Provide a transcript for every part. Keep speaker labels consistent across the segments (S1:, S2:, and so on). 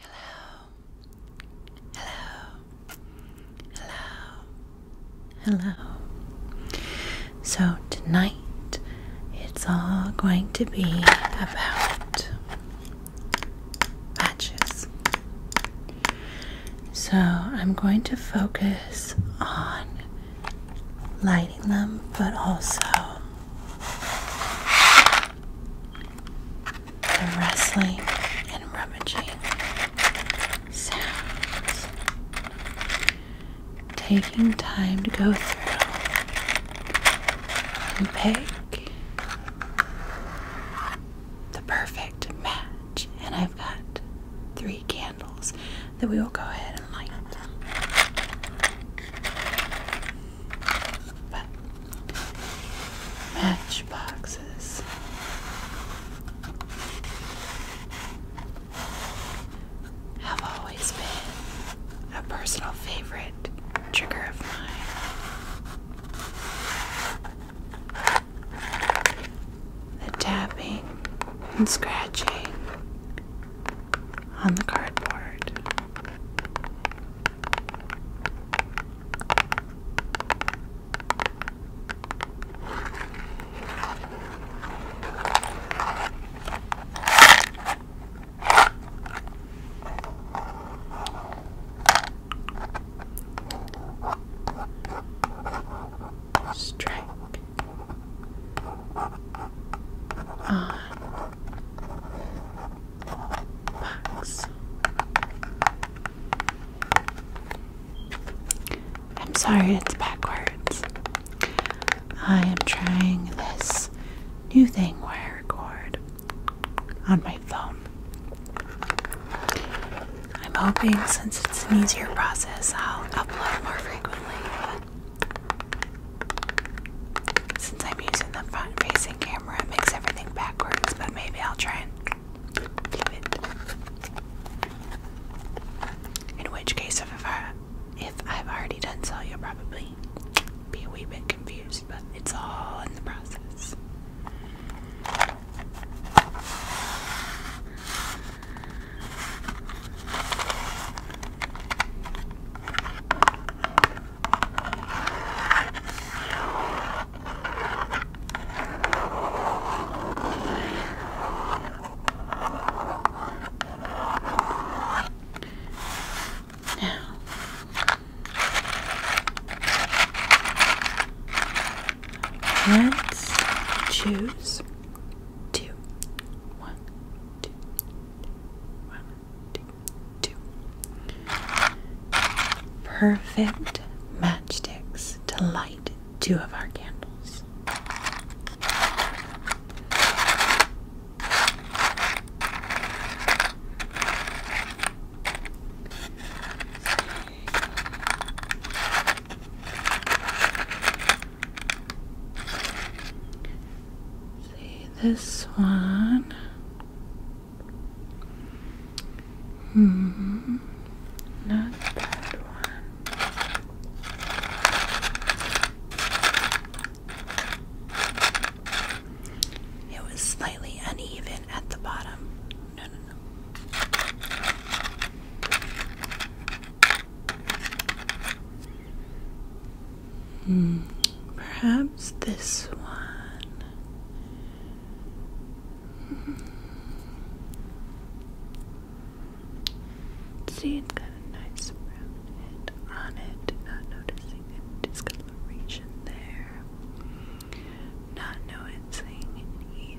S1: Hello. Hello. Hello. Hello. So tonight it's all going to be about matches. So I'm going to focus on lighting them, but also the rustling and rummaging sounds, taking time to go through and pick the perfect match. And I've got three candles that we will go ahead and light. But matchboxes. Have always been a personal favorite trigger of mine. The tapping and scratching on the cardboard Strike on box. I'm sorry, it's backwards. I am trying this new thing wire I record on my phone. I'm hoping since it's an easier process, I'll upload more frequently. Since I'm using the front facing camera, it makes everything backwards, but maybe I'll try and flip it. In which case, if I've already done so, you'll probably be a wee bit confused, but it's all in the process. Now, let's choose two. One, two. Perfect matchsticks to light two of our candles. See this one Hmm, not that one. It was slightly uneven at the bottom. No, no, no. Hmm. perhaps this one. Hmm. See, it's got nice brown head on it. Not noticing any discoloration there. Not noticing any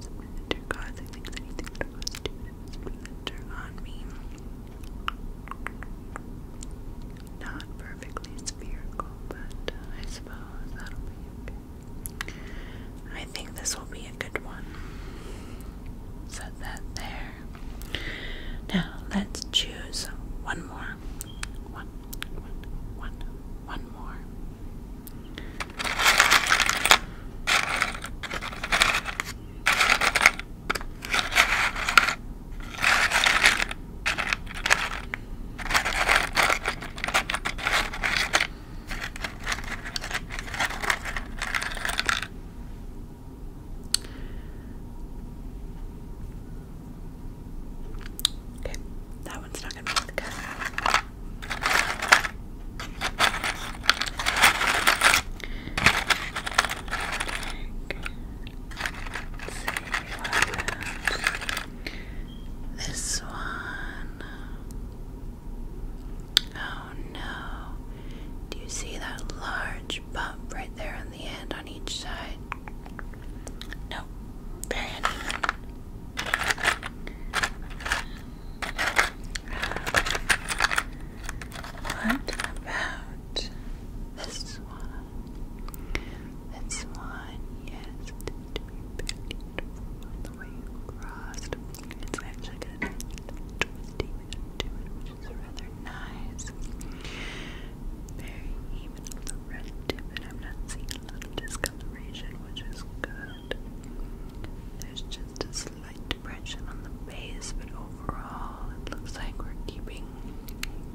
S1: splinter causing anything that was to on me not perfectly spherical, but uh, I suppose that'll be okay. I think this will be a good one. Set that there. Now let's choose one more. One, one, one, one more. Okay, that one's not going to work. Okay. This one. Oh no. Do you see that large bump right there on the end on each side? Nope. Very uneven. what about this one? That's one, yes, it is to be the way you crossed. It's actually got a nice even red tip, and I'm not seeing a lot of discoloration, which is good. There's just a slight depression on the base, but overall, it looks like we're keeping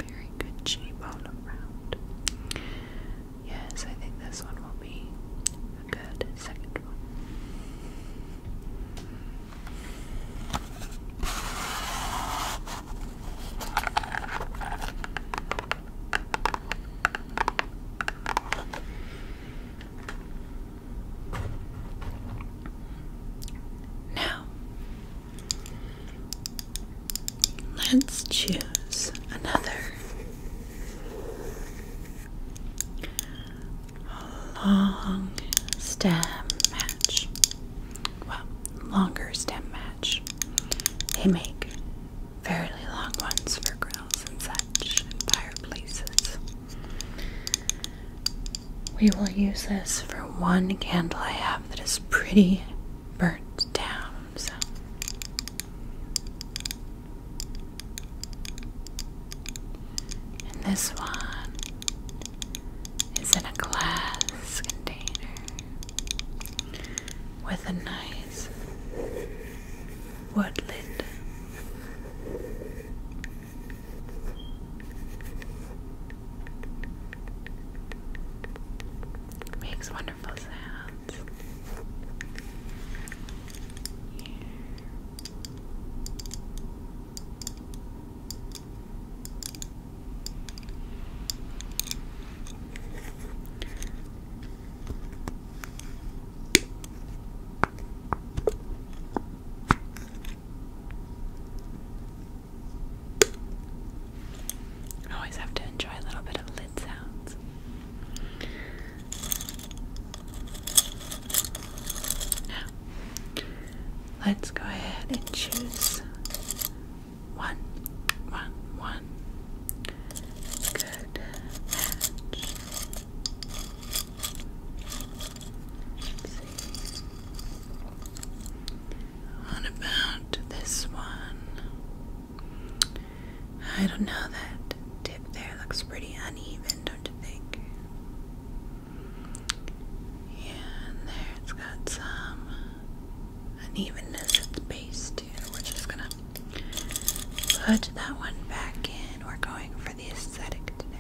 S1: very good shape all around. Yes, I think this one will be a good second one. Now, Let's choose another long stem match. Well, longer stem match. They make fairly long ones for grills and such and fireplaces. We will use this for one candle I have that is pretty burnt down. So. And this one is in a glass container with a nice wood lid. Makes wonderful sounds always have to enjoy a little bit of lid sounds. let's go ahead and choose one, one, one good what about this one? I don't know, that tip there looks pretty uneven, don't you think? Yeah, there it's got some unevenness at the base, too. We're just gonna put that one back in. We're going for the aesthetic today.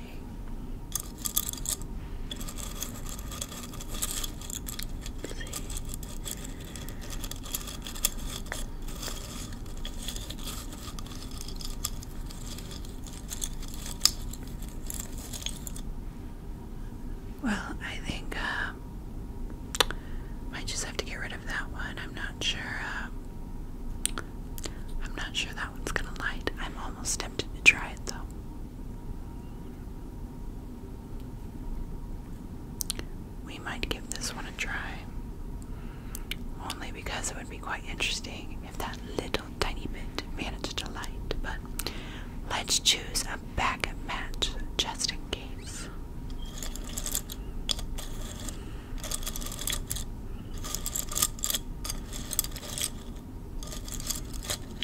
S1: Well, I think uh, I might just have to get rid of that one. I'm not sure. Uh, I'm not sure that one's gonna light. I'm almost tempted to try it though. We might give this one a try. Only because it would be quite interesting if that little tiny bit managed to light, but let's choose a back match just in case.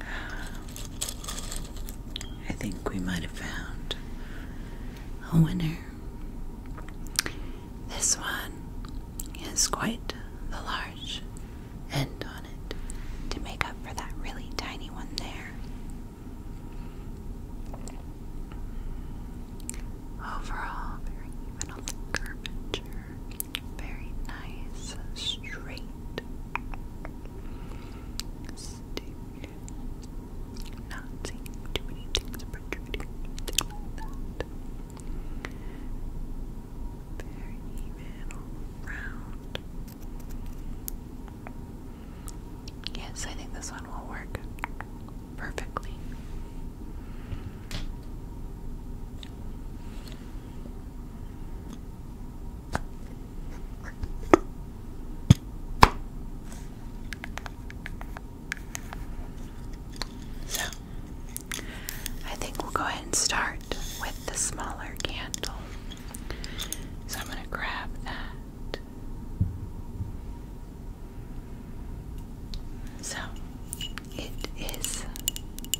S1: I think we might have found a winner. This one has quite the large end on it to make up for that really tiny one there. Overall, very even curvature very nice, straight stick. Not seeing too many things protruding like that. Very even round. Yes, I think this one will work perfectly. So, I think we'll go ahead and start with the smaller candle. So, I'm going to grab that. So it is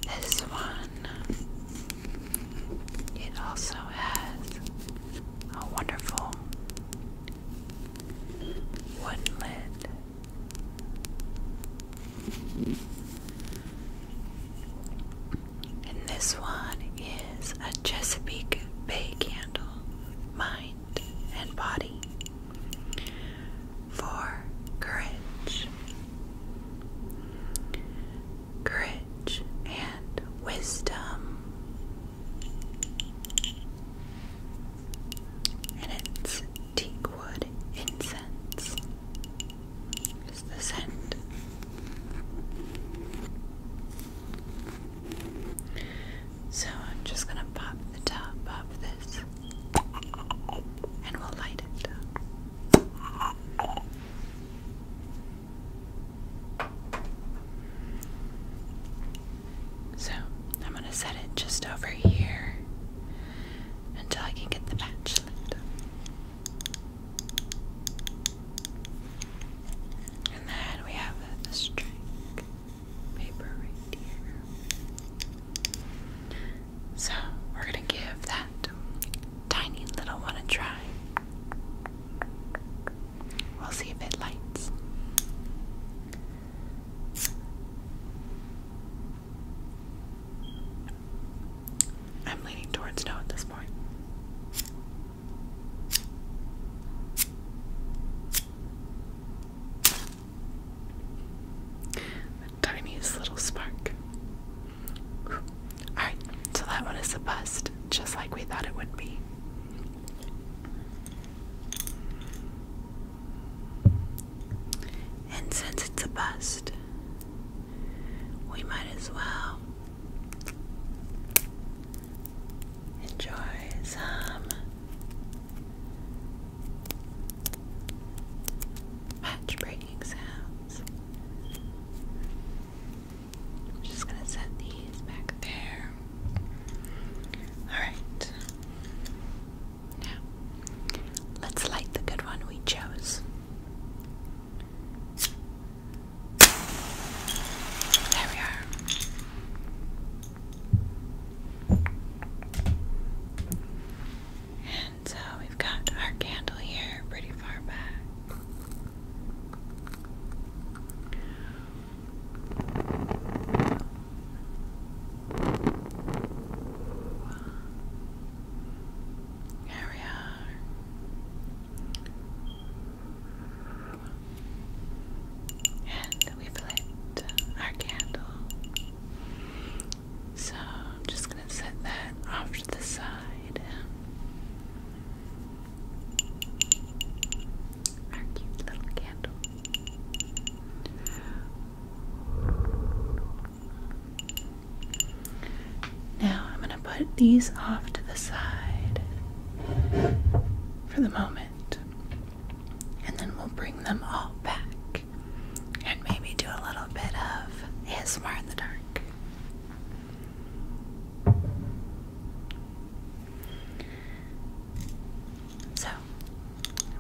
S1: this one. It also has a wonderful wood lid. And this one is a Chesapeake Bay candle, mind and body. For courage. Courage and wisdom. And it's teakwood incense. Is the scent. So I'm just going to pop the top off this and we'll light it. So, I'm going to set it just over here until I can get the match lit. And then we have the string paper right here. So we're gonna give that tiny little one a try. We'll see if it lights. I'm leaning towards no at this point. The tiniest little spark. Alright, so that one is a bust, just like we thought it would be. And since it's a bust, we might as well enjoy some Match breaking sounds. I'm just gonna set these back there. Alright. Now, let's light the good one we chose. There we are. And so we've got our candle here pretty far back. There we are. And we've lit our candle. So I'm just gonna set that off to the side. Our cute little candle. Now I'm gonna put these off to the side for the moment. And then we'll bring them all back and maybe do a little bit of hismar in the dark. So,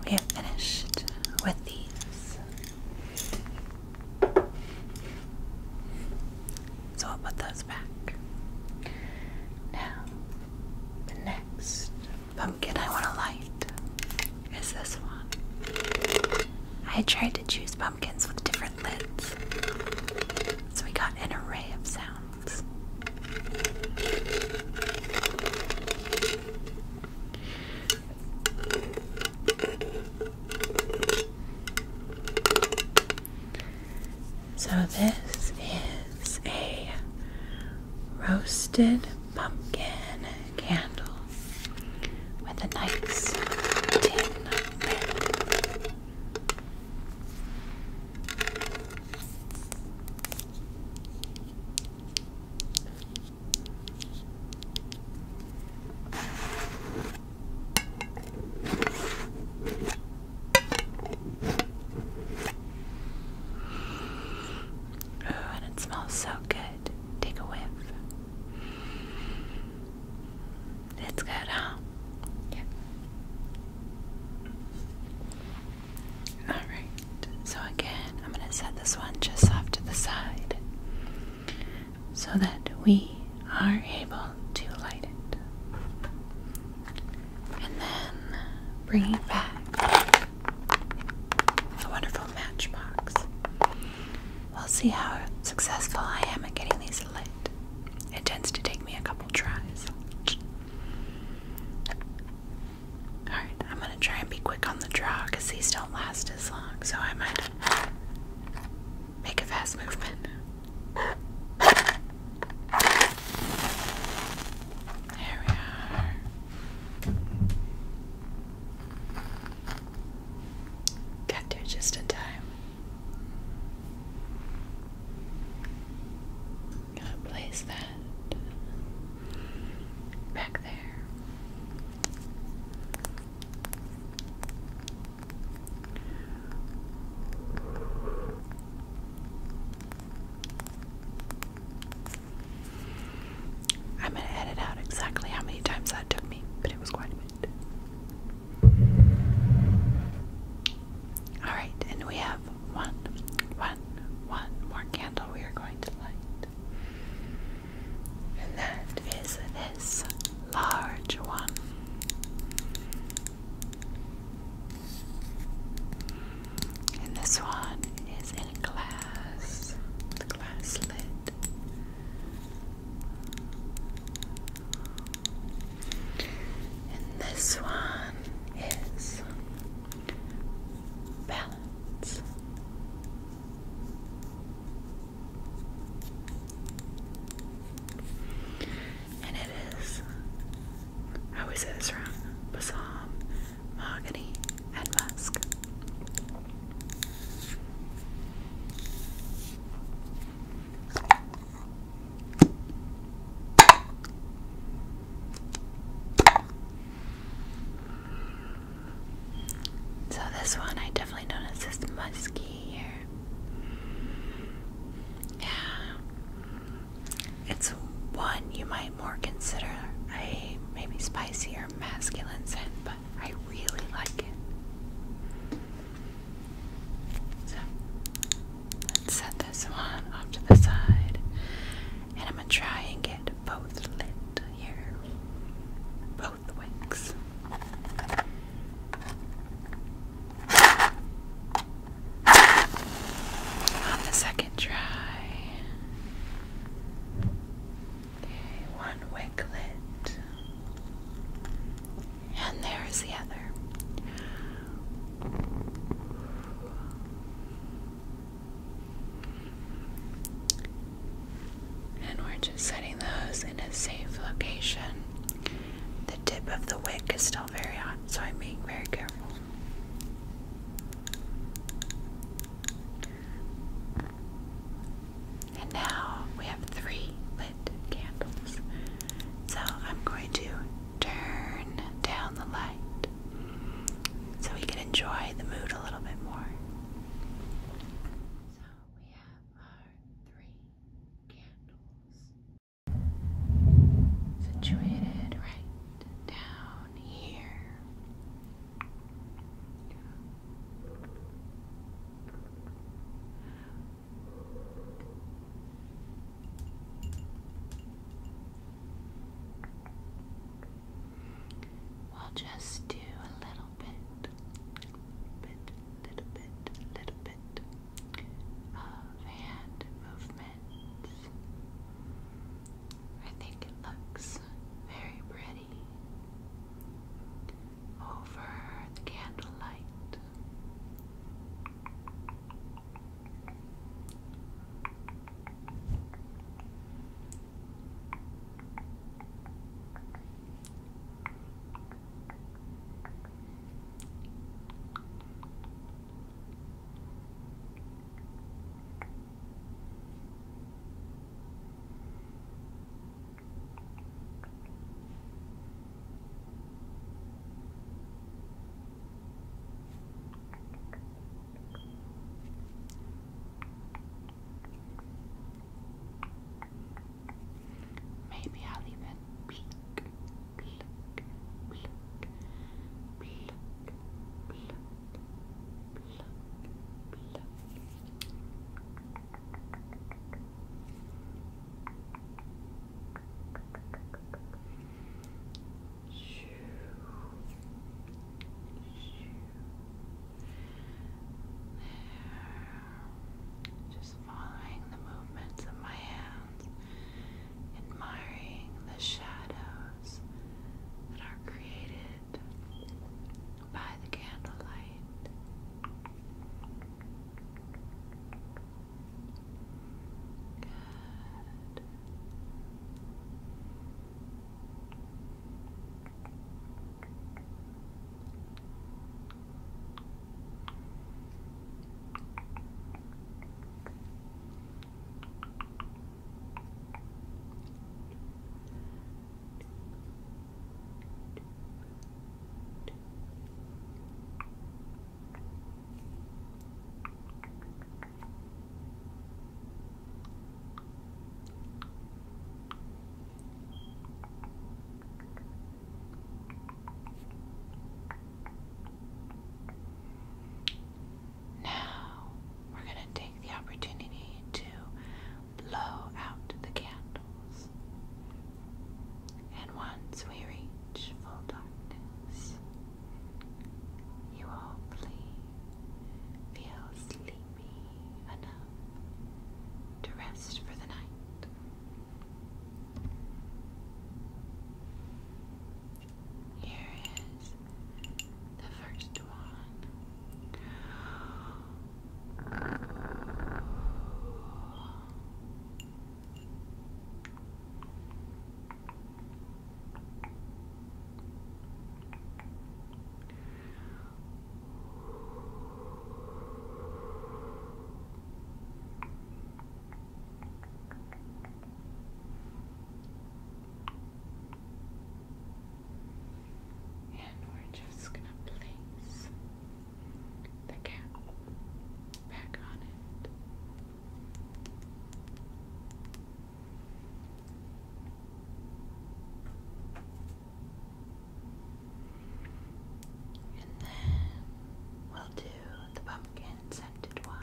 S1: we have finished with these. So, I'll put those back. Now, the next pumpkin I want a light is this one. I tried to choose pumpkins with different lids, so we got an array of sounds. So, this is a roasted pumpkin candle with a nice tin lid. Oh, and it smells so good. Take a whiff. It's good, huh? Yeah. Alright, so again, I'm going to set this one just off to the side so that we are able to light it. And then bring it back a wonderful matchbox. We'll see how successful I am at getting these lit. It tends to take me a couple tries. Alright, I'm gonna try and be quick on the draw because these don't last as long, so I might make a fast movement. There we are. Got there just in time. Gotta place that back there. I'm going to edit out exactly how many times that took me, but it was quite a bit. Alright, and we have one, one, one more candle we are going to light. And that is this large one. And this one is in glass glass lid. And this one is balance. And it is, I always say this wrong, balsam mahogany, and musk. So this one I definitely noticed this musky here. Yeah. It's one you might more consider a maybe spicier masculine scent, but I really like it. let's set this one off to the side, and I'm gonna try and get both lit here, both wicks. On the second try, Okay, one wick lit. And there's the other. And we're just setting those in a safe location. The tip of the wick is still very hot, so I'm being very careful. And now we have three lit candles. So I'm going to turn down the light so we can enjoy the mood a little bit more. So we have our three candles situated right down here. We'll just do a little bit, bit, little bit, little bit of hand movements. I think it looks very pretty many over the candlelight. Maybe I'll even pluck, pluck, pluck, pluck, pluck, just following the movements of my hands, admiring the shadows that are created by the candlelight. Good. Now we're going to the opportunity to blow out the candles. And once we reach full darkness, you will please feel sleepy enough to rest for the night. Here is the first one. And we're just going to place the cap back on it. And then we'll do the pumpkin scented one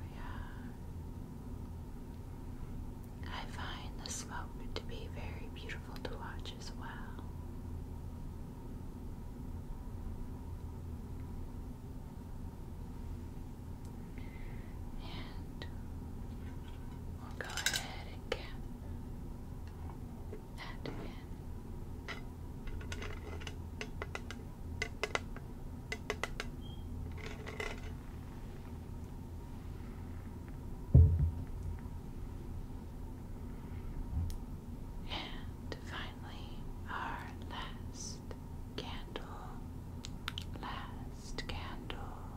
S1: we are. I find the smoke to be very beautiful to watch as well. And we'll go ahead think that and finally, our last candle, last candle,